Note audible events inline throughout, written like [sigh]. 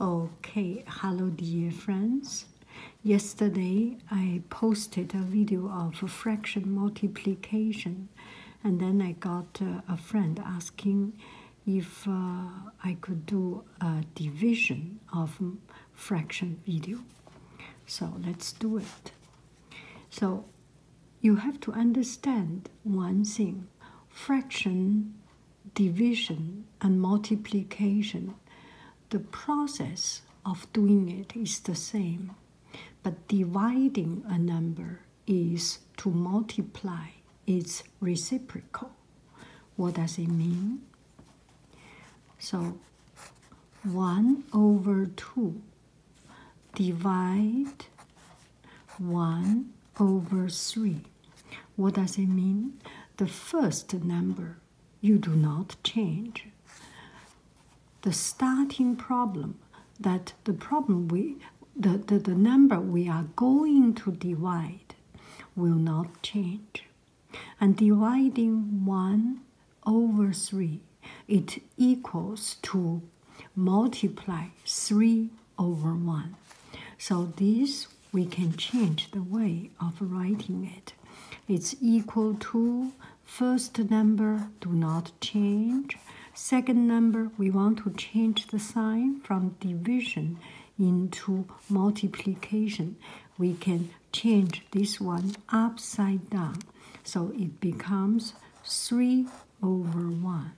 Okay, hello dear friends. Yesterday I posted a video of fraction multiplication and then I got uh, a friend asking if uh, I could do a division of fraction video. So let's do it. So you have to understand one thing fraction, division, and multiplication. The process of doing it is the same, but dividing a number is to multiply its reciprocal. What does it mean? So 1 over 2 divide 1 over 3 what does it mean? The first number you do not change. The starting problem that the problem we the, the, the number we are going to divide will not change. And dividing 1 over 3, it equals to multiply 3 over 1. So this we can change the way of writing it. It's equal to first number, do not change. Second number, we want to change the sign from division into multiplication. We can change this one upside down. So it becomes 3 over 1.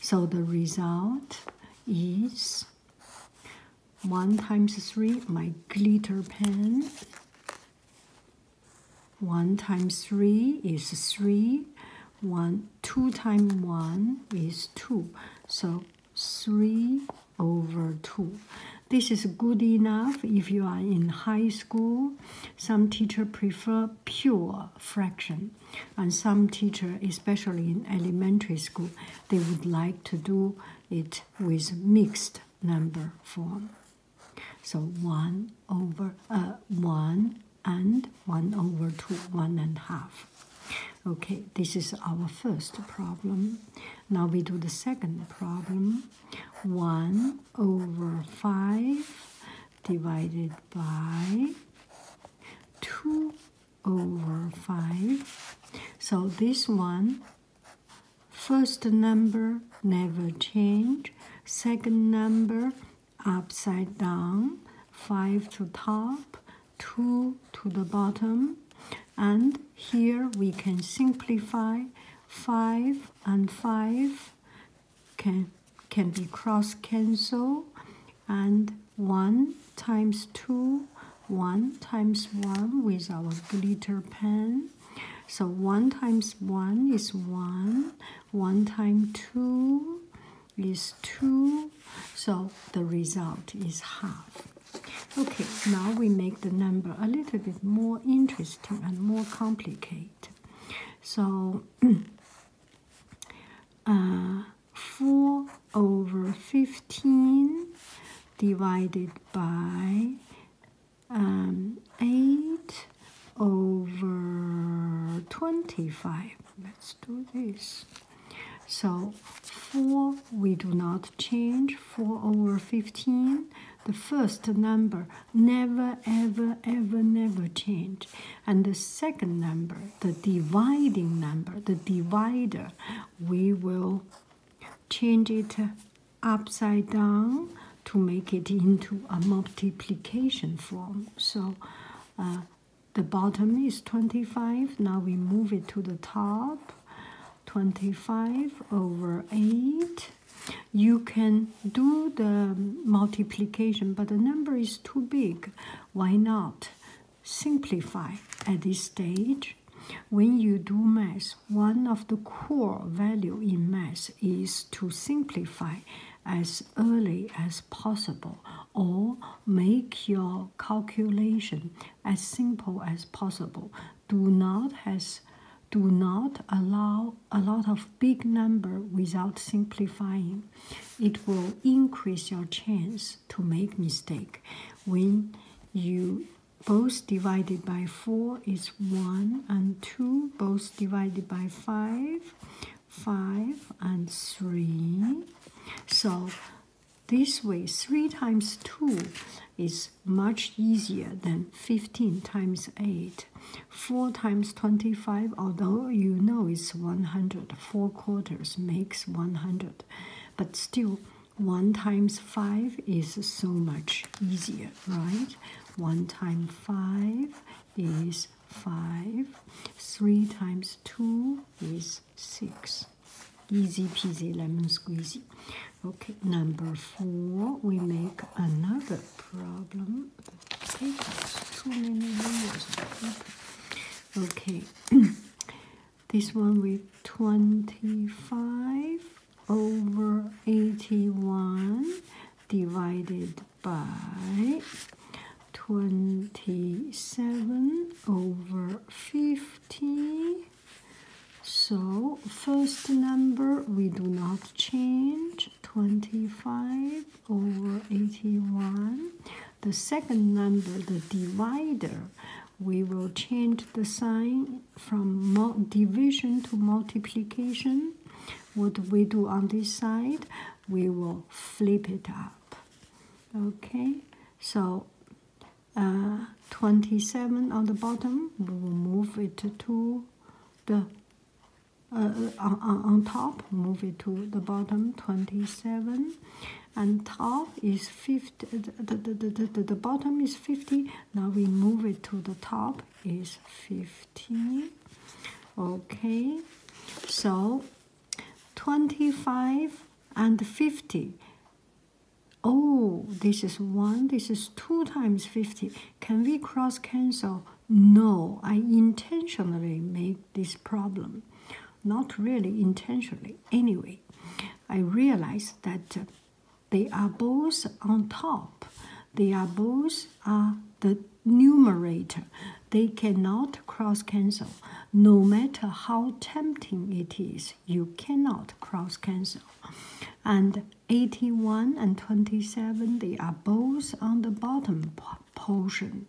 So the result is 1 times 3, my glitter pen. 1 times 3 is 3. 1, 2 times 1 is 2. So 3 over 2. This is good enough if you are in high school. Some teacher prefer pure fraction, and some teacher, especially in elementary school, they would like to do it with mixed number form. So 1 over uh, 1 and 1 over 2, 1 and half. Okay, this is our first problem. Now we do the second problem. 1 over 5 divided by 2 over 5. So this one, first number never change, second number upside down, 5 to top, 2 to the bottom. And here we can simplify 5 and 5 can, can be cross cancel and 1 times 2 1 times 1 with our glitter pen so 1 times 1 is 1 1 times 2 is 2 so the result is half okay now we make the number a little bit more interesting and more complicated so [clears throat] uh, 4 over 15 divided by um, 8 over 25. Let's do this. So 4 we do not change, 4 over 15. The first number never, ever, ever, never change. And the second number, the dividing number, the divider, we will change it upside down to make it into a multiplication form. So uh, the bottom is 25. Now we move it to the top. 25 over 8. You can do the multiplication, but the number is too big. Why not? simplify at this stage. When you do math, one of the core value in math is to simplify as early as possible or make your calculation as simple as possible. Do not has do not allow a lot of big number without simplifying. It will increase your chance to make mistake. When you both divided by 4 is 1 and 2, both divided by 5, 5 and 3. So this way 3 times 2 is much easier than 15 times 8. 4 times 25, although you know it's 100, 4 quarters makes 100. But still, 1 times 5 is so much easier, right? 1 times 5 is 5. 3 times 2 is 6. Easy peasy lemon squeezy. Okay, number 4, we make another problem. Okay. [clears throat] [clears throat] This one with 25 over 81 divided by 27 over 50. So, first number we do not change 25 over 81. The second number, the divider, we will change the sign from division to multiplication. What we do on this side, we will flip it up. Okay, so uh, 27 on the bottom, we will move it to the uh, uh, on, on top, move it to the bottom, 27 and top is 50 the, the, the, the, the bottom is 50 now we move it to the top is 50 okay so 25 and 50 oh this is 1 this is 2 times 50 can we cross cancel no i intentionally made this problem not really intentionally anyway I realize that they are both on top. They are both are uh, the numerator. They cannot cross cancel. No matter how tempting it is, you cannot cross cancel. And 81 and 27, they are both on the bottom portion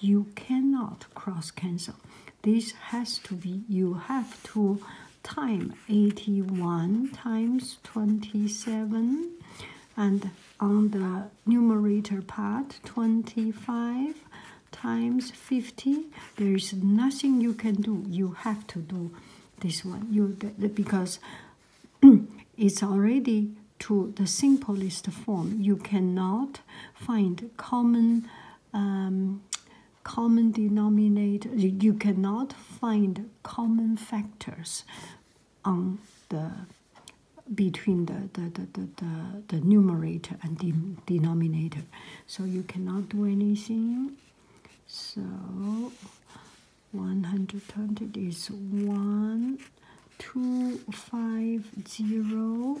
you cannot cross cancel. This has to be, you have to time 81 times 27 and on the numerator part 25 times 50 there is nothing you can do you have to do this one you because [clears throat] it's already to the simplest form you cannot find common um, common denominator you cannot find common factors on the between the the, the, the, the, numerator and denominator so you cannot do anything so 120 is 1 2 5 0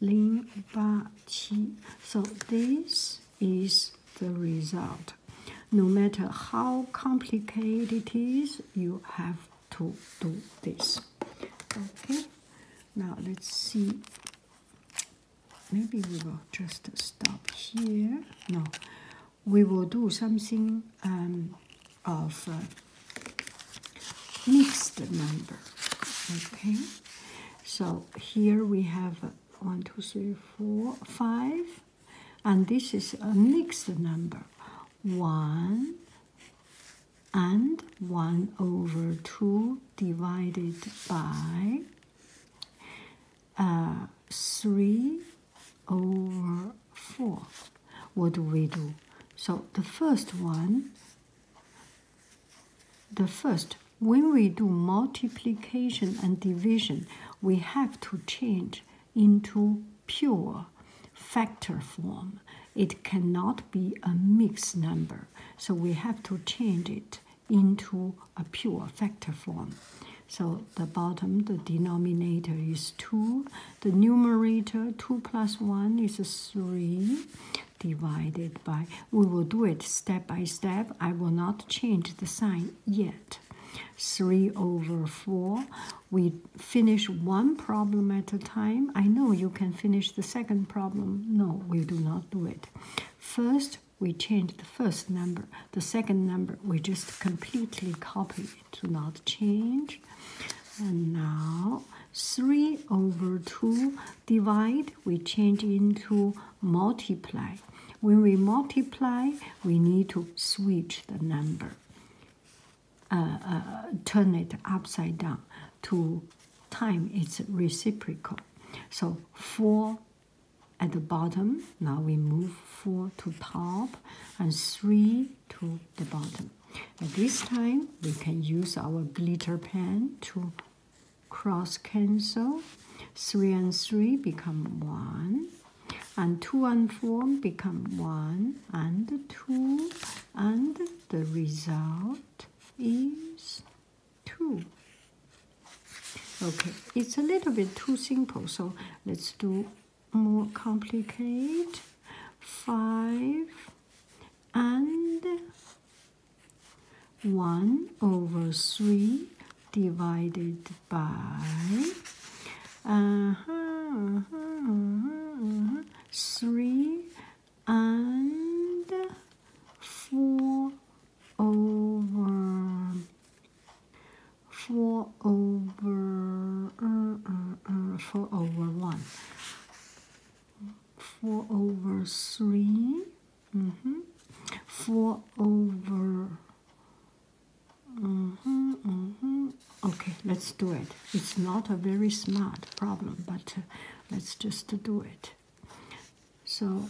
Lin So this is the result. No matter how complicated it is, you have to do this. Okay, now let's see. Maybe we will just stop here. No, we will do something um, of uh, mixed number. Okay, so here we have one, two, three, four, five, and this is a mixed number one and one over two divided by uh, three over four. What do we do? So the first one the first, when we do multiplication and division, we have to change into pure factor form. It cannot be a mixed number, so we have to change it into a pure factor form. So the bottom, the denominator is 2, the numerator 2 plus 1 is 3, divided by. We will do it step by step. I will not change the sign yet. 3 over 4. We finish one problem at a time. I know you can finish the second problem. No, we do not do it. First, we change the first number. The second number, we just completely copy it, do not change. And now 3 over 2 divide, we change into multiply. When we multiply, we need to switch the number, uh, uh, turn it upside down to time its reciprocal. So 4 at the bottom, now we move 4 to top and 3 to the bottom. At this time, we can use our glitter pen to cross cancel. Three and three become one, and two and four become one, and two, and the result is two. Okay, it's a little bit too simple, so let's do more complicated. Five and 1 over 3 divided by uh-huh, uh-huh, uh-huh, 3 and 4 over 4 over uh, uh, uh, 4 over 1 4 over 3 mm -hmm. 4 over mm -hmm, mm -hmm. okay let's do it it's not a very smart problem but uh, let's just do it so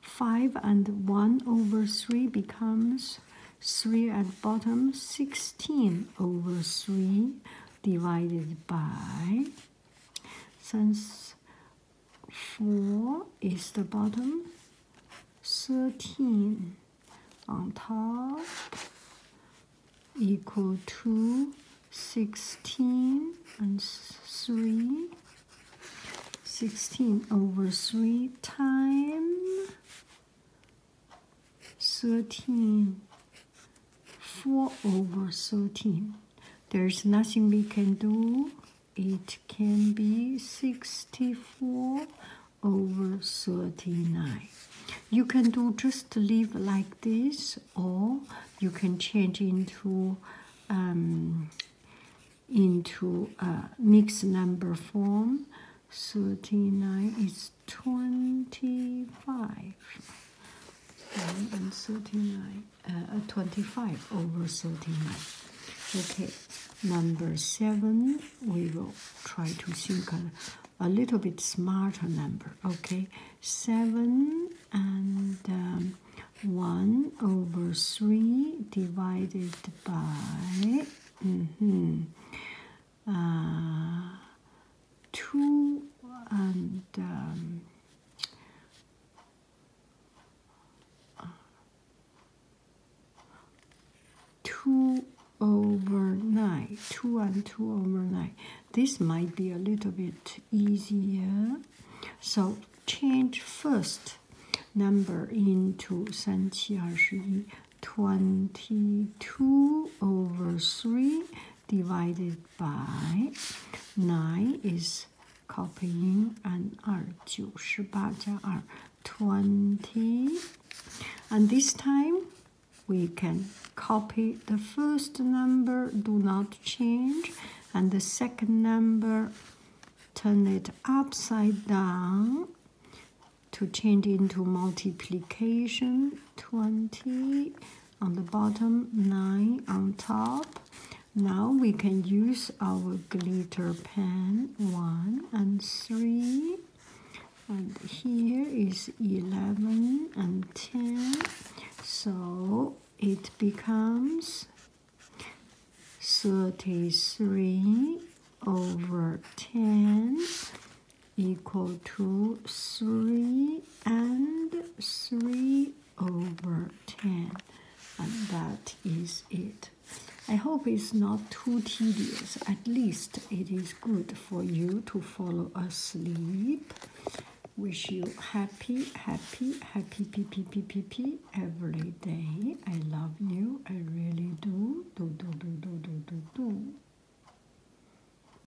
5 and 1 over 3 becomes 3 at bottom 16 over 3 divided by since 4 is the bottom 13 on top equal to 16 and 3 16 over 3 times. 13, 4 over 13. There's nothing we can do. It can be 64 over 39. You can do just leave like this or you can change into um, into a mixed number form. 39 is 25. and 39, uh, 25 over 39. Okay, number seven, we will try to think a, little bit smarter number. Okay, seven and um, one over three divided by. -hmm, uh, two and um, two over nine, two and two over nine. This might be a little bit easier. So change first number into 三七二十一22 over 3 divided by 9 is copying and 2, 98 2, 20. And this time we can copy the first number, do not change, and the second number, turn it upside down to change into multiplication 20 on the bottom, 9 on top. Now we can use our glitter pen, 1 and 3. And here is 11 and 10. So it becomes 33 over 10 equal to 3 and 3 over 10 and that is it i hope it's not too tedious at least it is good for you to follow asleep wish you happy happy happy p p p p p every day i love you i really do do do do do do do do